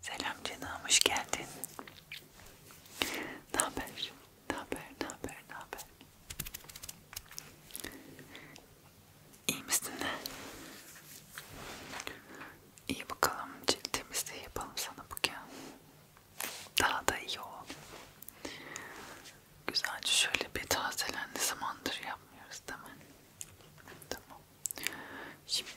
Selam canım, hoş geldin. Ne haber? Ne haber? Ne haber? Ne haber? İyi misin? İyi bakalım, cilt temizliği yapalım sana bugün. Daha da iyi ol. Güzelce şöyle bir tazelen ne zamandır yapmıyoruz değil mi? Tamam. Şimdi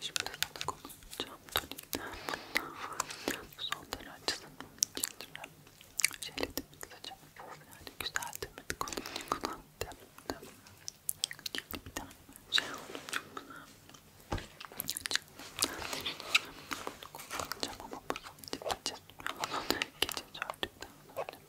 Şimdi sana konuşacağım tonikten son dönem açısından çizdiren şeyle de kısaca yani güzel demedi konuyu kadar demedi bir tane şey oldu çok güzel konuşacağım ama bu sadece bir cesur geçince öldükten sonra bunu da okuyorum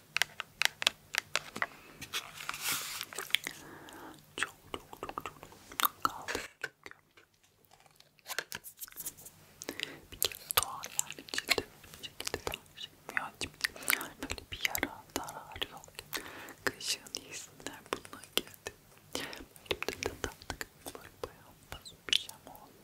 Çok çok çok çok kaldı çünkü. Bir kere doğal yani cilde bir şekilde tanışmıyor. Yani böyle bir yara, zarar yok. Kışın iyisinler bununla geldi. Böyle bir de tatlı şey böyle bayağı fazla bir şey oldu.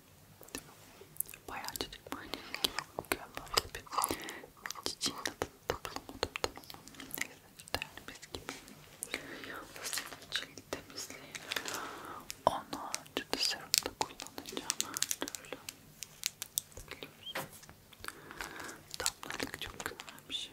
Bayağı çocuk mahallesi gibi okuyorum böyle bir çiçeğin adını da bulamadım tamam Neyse işte yani biz gibi Yalnız çiçeği temizleyip onu çünkü serumda kullanacağım Böyle Biliyorsun Damlalık çok güzel bir şey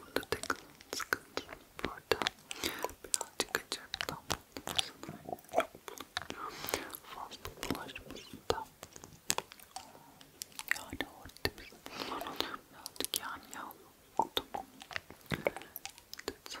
Bunda tek sıkıntı burada birazcık acıktan fazla bulaşmasın da yani orada biz birazcık yan yan tamam. Evet.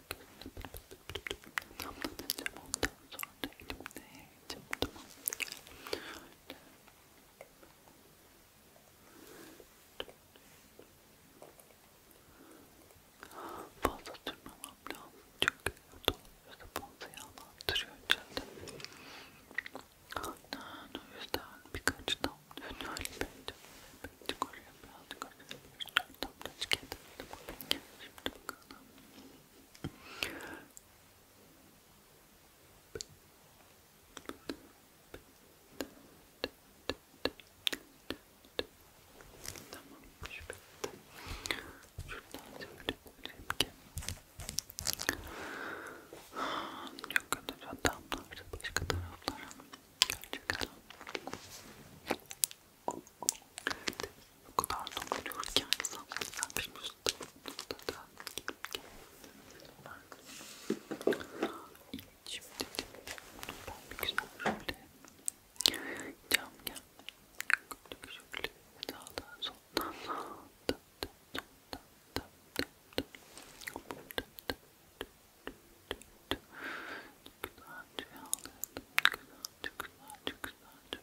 anlatacağım ondan sonra da elimde yiyeceğim tamam fazla sürmemem lazım çünkü dolabı fazla yağlandırıyor içeride aynen o yüzden birkaç damla önerli bence birazcık oraya birazcık oraya birazcık damla tüketelim şimdi bakalım Tamam. Şuradan söyleyebilirim ki çok kötü adamlar başka taraflara gerçekten bu kadar dokunuyor ki insan sen bilmiyorsun da da Şimdi ben bir güzel şöyle camya şöyle sağdan soldan da da da da da da Güzelce alalım, güzelce, güzelce, güzelce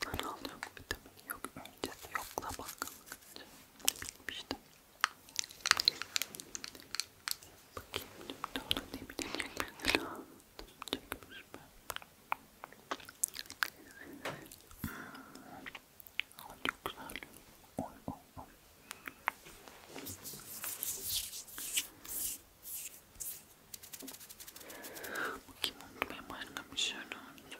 Kanal yok vitamin yok öncesi yokla bakkallık bilmiştim. Bakayım şimdi ona ne bilecek mesela. Çekmiş mi? Ay çok güzel. Oy oy oy. Bakayım onu ben anlamış herhalde.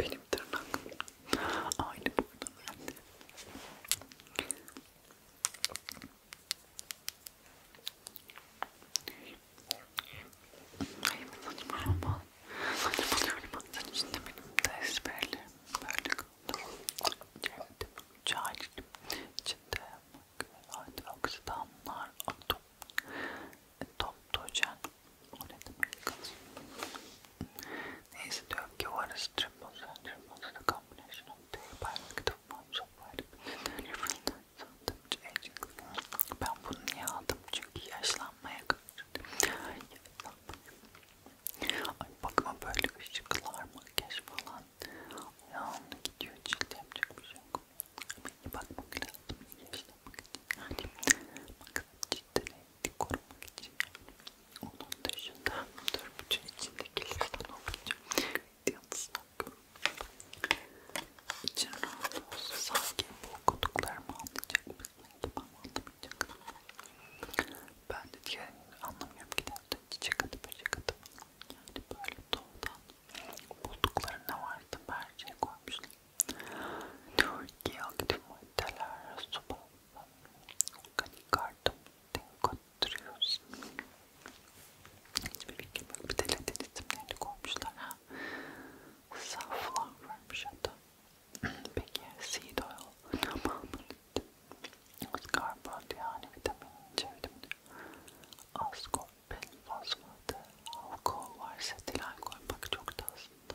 Benim tırnak. Aynı burada bende. Hayır saçmalama. Saçmalıyorum. Sen içinde benim tezberli. Böyle kaldım. Geldim. Cahildim. İçinde. Hadi aksıdanlar. Atom. Top dojan. O ne demek? Neyse diyorum ki what is triple zone? Triple zone a combination of the hierarchical forms of vitamin Ben bunu niye aldım? Çünkü yaşlanmaya karşı. Ay bakma böyle ışıklar, makyaj falan. Ayağımda gidiyor cilde yapacak bir şey yok. Bak bakmak lazım. Yaşlanmaya korumak için yani maksat cidden evlilik korumak için onun dışında dur bütün içindekilerden okuyacağım yalnızla İçin rahat olsa sanki bu okuduklarımı anlayacak mısın? Ben anlamayacak Ben de diğer anlamıyorum ki de çiçek atıp çiçek atıp yani böyle doğudan buldukları ne vardı berçeye koymuşlar Türkiye aktif maddeler, su bazlı, organik artım, denkottürüyoruz. Hiçbir bilgi yok. Bir de Latin isimlerini koymuşlar ha. Safla varmış hatta. Peki seed oil tamamını karbonhidrat yani vitamin C vitamini az koppel fosfatı alkol varsa etil alkol bak çok da aslında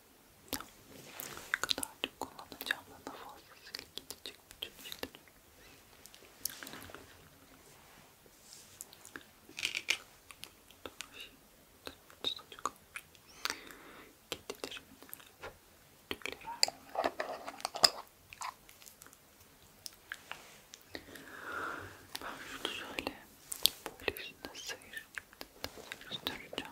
ne kadar çok kullanacağımla da fazlasıyla gidecek bütün işlerim. Çocuk getirdim. Tüyler Ben şunu şöyle böyle üstüne sıyır. Üstüreceğim.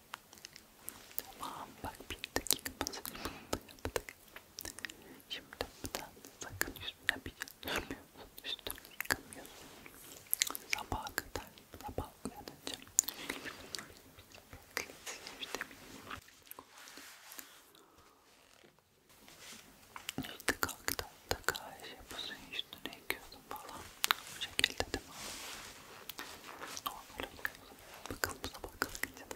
Tamam bak bir dakika masajını da yaptık. Şimdi buradan sakın yüzüne bir sürmüyorsun, şey üstünü yıkamıyorsun. Sabaha kadar, sabah uyanınca işte işte kalktı da karşı bu suyun üstüne yıkıyorsun falan bu şekilde değil mi? Normal oluyor. Bakalım sabah kalkınca